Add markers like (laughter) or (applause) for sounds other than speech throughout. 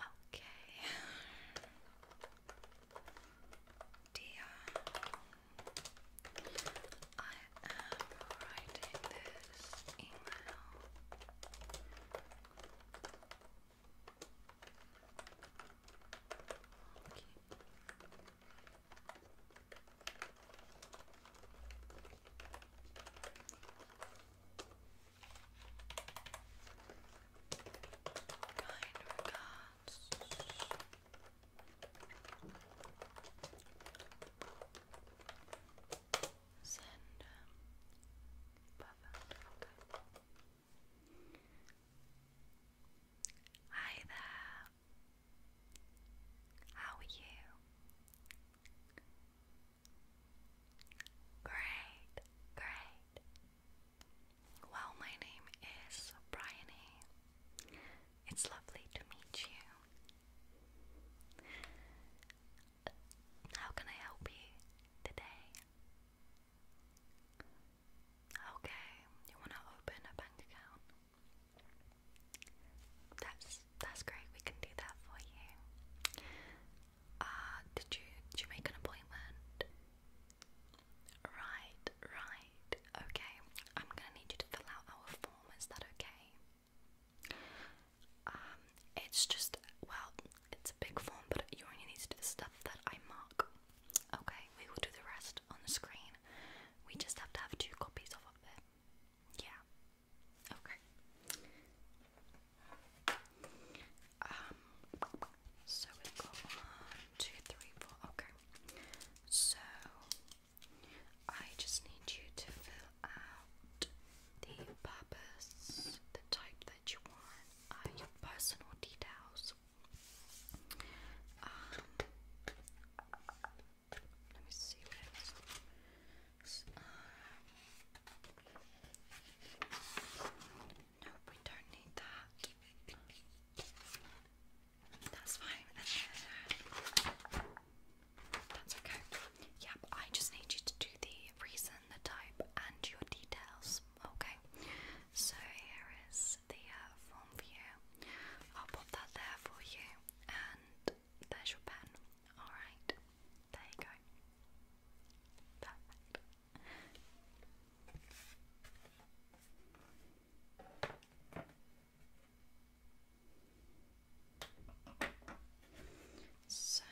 Okay. Dear, I am writing this email. Okay. Kind regards. Send. Um, Hi there. How are you? Great, great. Well, my name is Bryony. It's lovely to meet you. How can I help you today? Okay, you want to open a bank account? That's that's great. We can do that for you. Uh, did you did you make an appointment? Right, right. Okay. I'm gonna need you to fill out our form. Is that okay? Um, it's just well, it's a big form, but you only need to do the stuff that I mark. Okay, we will do the rest on the screen. We just have to have two copies of it. Yeah. Okay. Um so we go okay. So I just need you to fill out the purpose, the type that you want, uh, your personal details. Um, let me see what it is. Uh, no, we don't need that. That's fine. That's okay. Yep, I just need you to do the reason, the type, and your details. Okay. So here is the uh, form for you. I'll pop that there for you there's your pen. Alright, there you go. Perfect. So,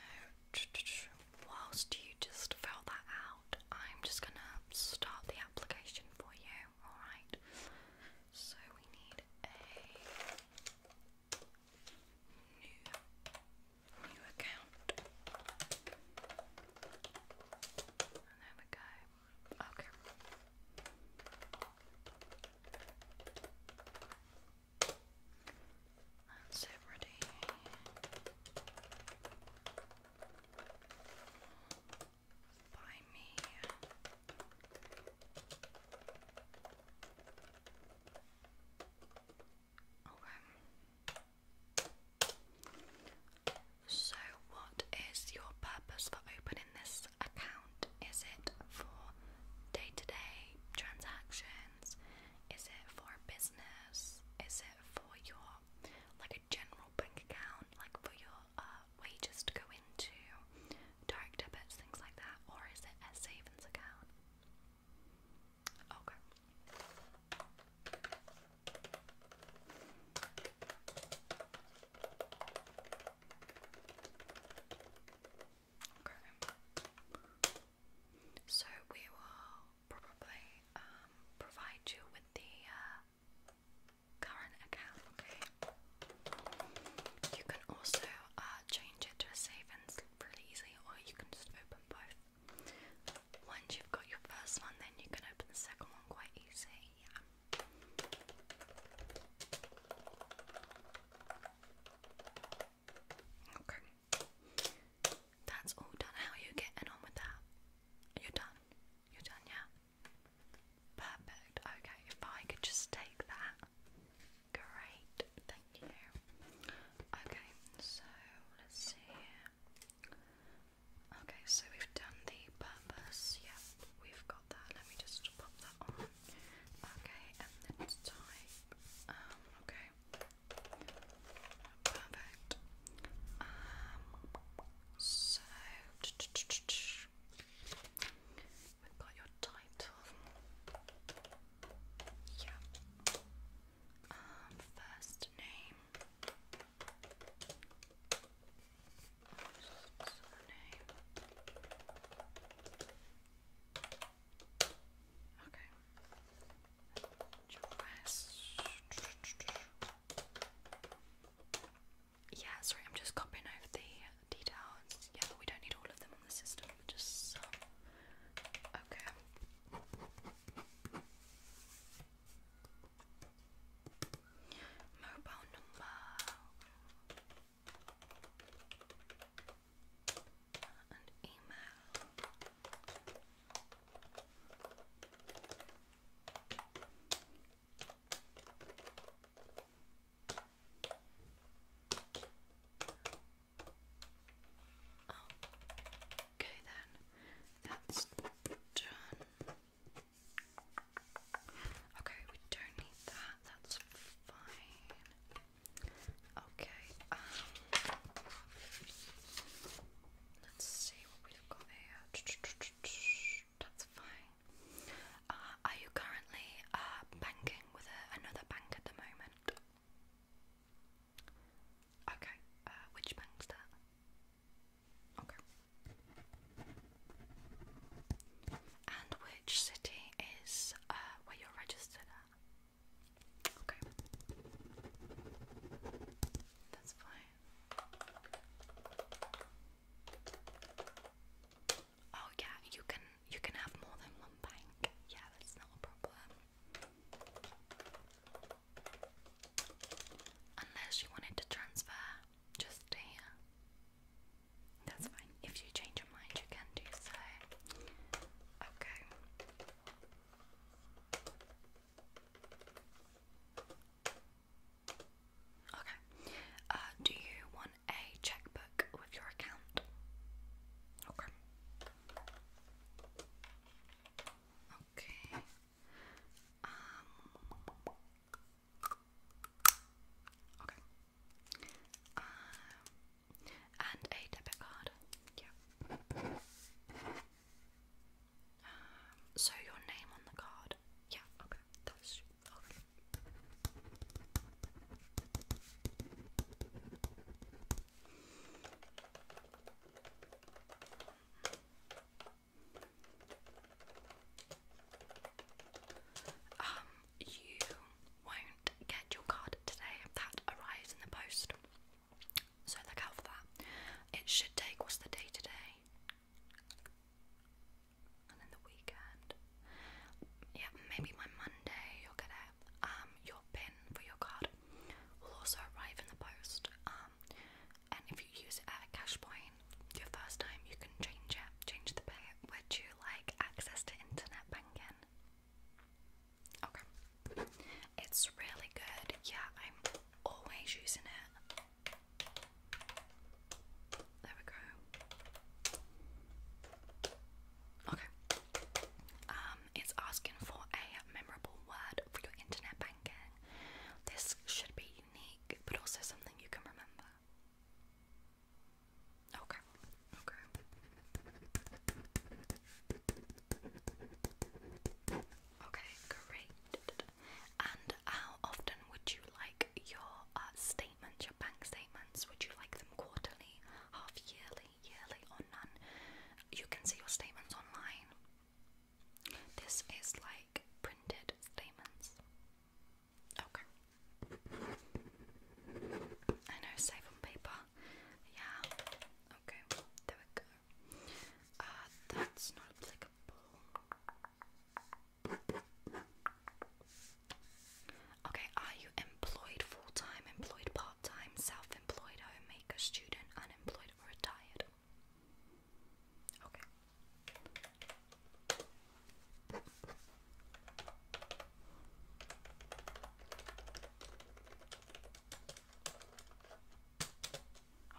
whilst you just fill that out, I'm just gonna start the application for you, alright? So we need a new new account. there we go. Okay. That's it so, what is your purpose for opening this account? Is it for day to day transactions? Is it for business? Is it for your like a general bank account, like for your uh, we just go into, direct debits, things like that, or is it a savings account? Okay. So we will probably um, provide you with the uh, current account, okay? You can also uh, change it to a savings really easily, or you can just open both. Once you've got your first one, then you can open the second one quite easy, yeah. Okay. That's all done. How are you getting on with that? You're done. You're done, yeah? Perfect. Okay, if I could just take that. Great, thank you. Okay, so let's see Okay, so we've done the purpose. yeah, we've got that. Let me just pop that on. Okay, and then type. Um, okay. Perfect. Um, so (tsk) We've got your title. Yeah. Um, first name. Surname. Okay. Dress yeah, sorry, I'm just copying over the details. Yeah, we don't need all of them on the system, just some. Okay. Mobile number. And email. Oh, okay then. That's done. Okay, we don't need that. That's fine. Okay. Um, let's see what we've got here. That's fine. Uh, are you currently uh, banking with another bank at the moment? Okay. Uh, which bank's that? Okay. And which city is uh, where you're registered at? Okay. That's fine. Oh yeah, you can you can have more than one bank. Yeah, that's not a problem. Unless you wanted to transfer just here. That's fine. If you change your mind you can do so. Okay. Okay. Uh, do you want a checkbook with your account? Okay. Okay. Um, okay. Um. And a debit card. Yeah so your name on the card. Yeah, okay. That's okay. Um, you won't get your card today that arrives in the post. So look out for that. It should take what's the day today? and then the weekend. Yeah, maybe by Monday you'll get it. Um, your pin for your card will also arrive in the post. Um, and if you use it at a cash point your first time, you can change it, change the pin. Would you like access to internet banking? Okay, it's really good. Yeah, I'm always using it. There we go. Okay. Um, it's asking for a memorable word for your internet banking. This should be unique, but also something you can remember. Okay. Okay. Okay, great. And how often would you like your uh, statements, your bank statements? Would you like them quarterly, half yearly, yearly, or none? You can see your statements online. This is like printed statements. Okay. I know, save on paper. Yeah. Okay, there we go. Uh, that's not applicable. Okay, are you employed full time, employed part time, self employed, homemaker, student, unemployed, or retired? Okay.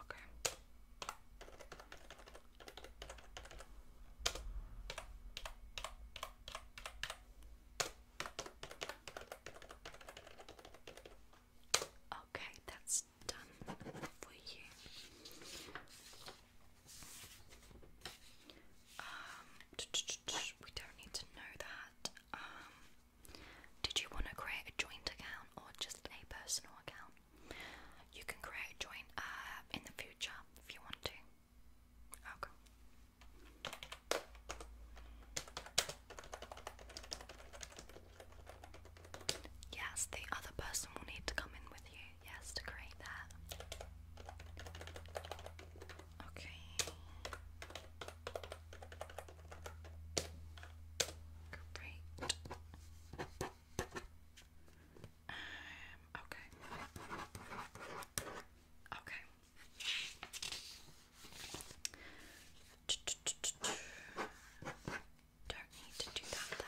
Okay. Okay, that's done for you. Um, (tsk) we don't need to know that. Um, did you want to create a joint account or just a personal account? You can create a joint uh, in the future if you want to. Okay. Oh, yes, the other person will need to come in with you, yes, to create that. Okay. Great. okay. Okay. Don't need to do that then.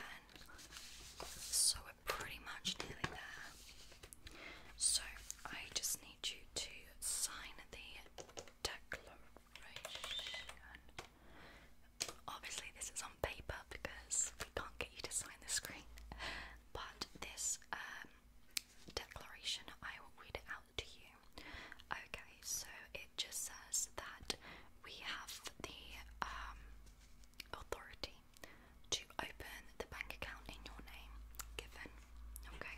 So we're pretty much nearly there. So I just need you to sign the declaration. Obviously, this is on paper because we can't get you to sign the screen. But this um, declaration, I will read it out to you. Okay, so it just says that we have the um, authority to open the bank account in your name, given. Okay,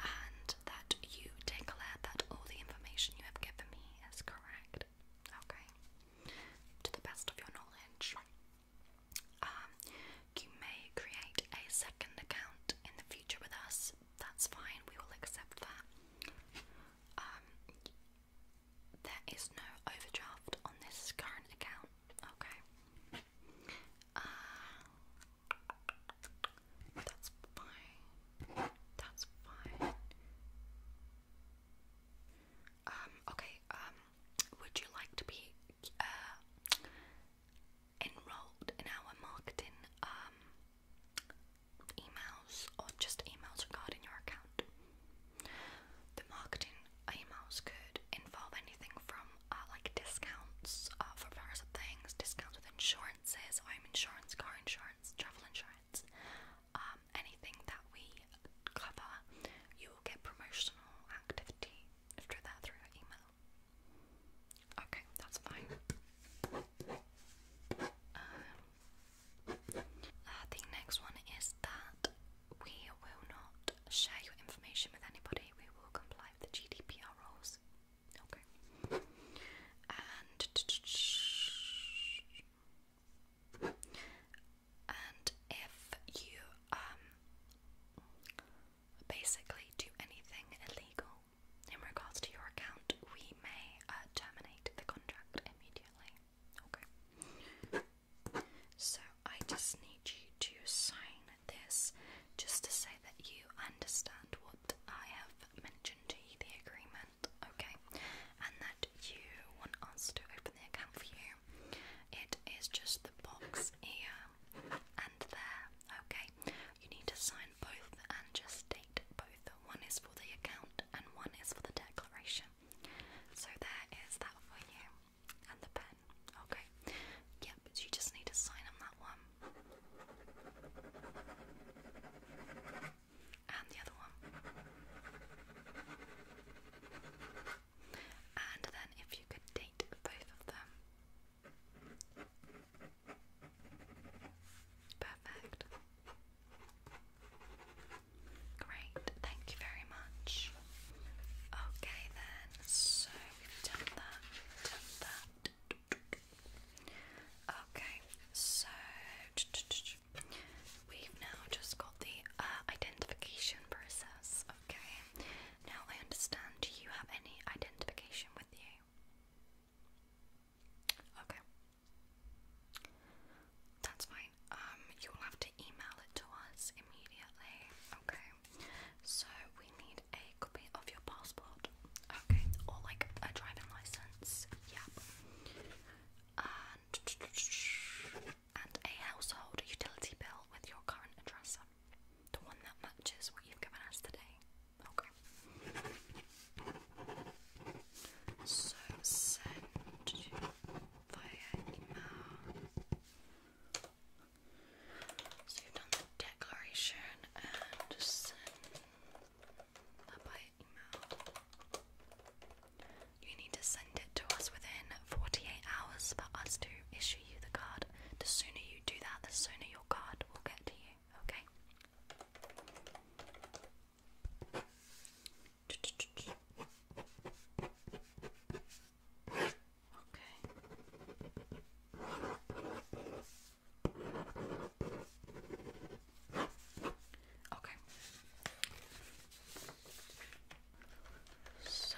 and that you declare that all the information you have given me is correct. Okay? To the best of your knowledge. Um, you may create a second account in the future with us. That's fine, we will accept that. Um, there is no overdraft on this current account. Okay. Uh, that's fine. That's fine. Um, okay, um, would you like to be uh, enrolled in our marketing um, emails or just emails regarding your account? The marketing emails could involve anything from uh, like discounts uh, for various things, discounts with insurance home insurance, car insurance, travel insurance, um, anything that we cover, you will get promotional activity through that through email. Okay, that's fine. Um, uh, the next one is that we will not share your information with anybody. We will comply with the GDPR rules. Okay. And and if you um basically do anything illegal in regards to your account, we may uh, terminate the contract immediately. Okay. So I just need you to sign this just to say that you understand what I have mentioned to you, the agreement, okay? And that you want us to open the account for you. It is just the box here and there, okay? You need to sign both and just date both. One is for the account and one is for the declaration. So there is that for you. And the pen. Okay. Yep, you just need to sign on that one and the other one. And then if you could date both of them. Perfect. Great, thank you very much. Okay, then, so we've done that, done that, Okay, so we've now just got the uh, identification process. Okay, now I understand. Do you have any identification with you? Okay, that's fine. Um, you'll have to email it to us immediately. Okay. So we need a copy of your passport, okay, or like a driving license, yeah, and a household utility bill with your current address on, the one that matches what you've given us today, okay. So send via email. So you've done the declaration and send that by email. You need to send it to us within 48 hours for us to issue you the card. The sooner you do that, the sooner your card will get to you, okay? Okay. Okay. So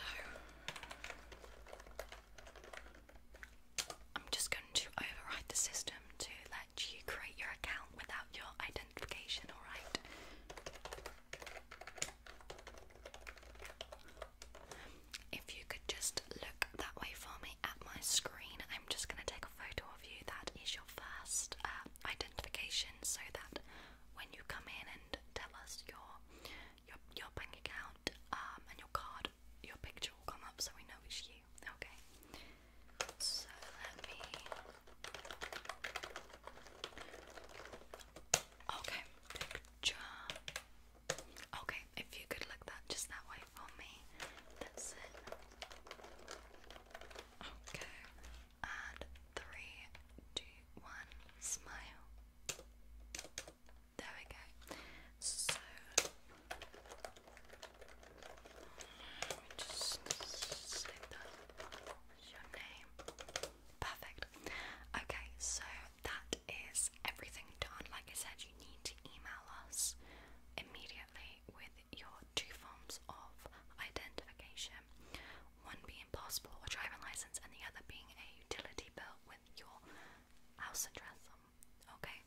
I'm just going to override the system to let you create your account without your identification, alright? If you could just look that way for me at my screen, I'm just going to take a photo of you. That is your first uh, identification, so that when you come in and tell us your your bank account um, and your card, your picture will come up, so we know it's you. Okay. So let me. Okay, picture. Okay, if you could look that just that way for me. That's it. Okay. And three, two, one, smile. There we go. So let me just slip that. your name? Perfect. Okay, so that is everything done. Like I said, you need to email us immediately with your two forms of identification one being passport or driving license, and the other being a utility bill with your house address Okay?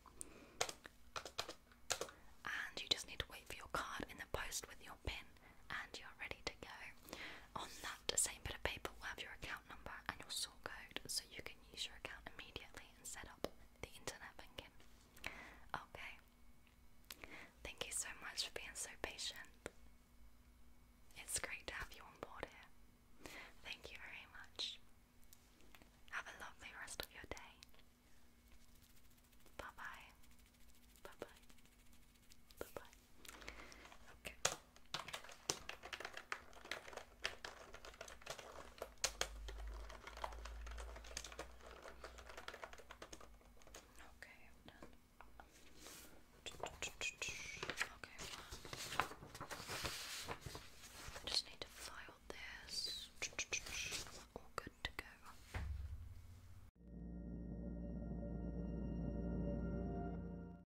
And you just need to wait for your card in the post with your PIN, and you're ready to go. On that same bit of paper, we'll have your account number and your sort code you can use your account immediately and set up the internet banking. Okay. Thank you so much for being so patient. It's great to have you on board here. Thank you very much. Have a lovely rest of your day. Bye bye. Bye bye. Bye bye. Okay. Okay, i done. Okay, just need to file this. All good to go.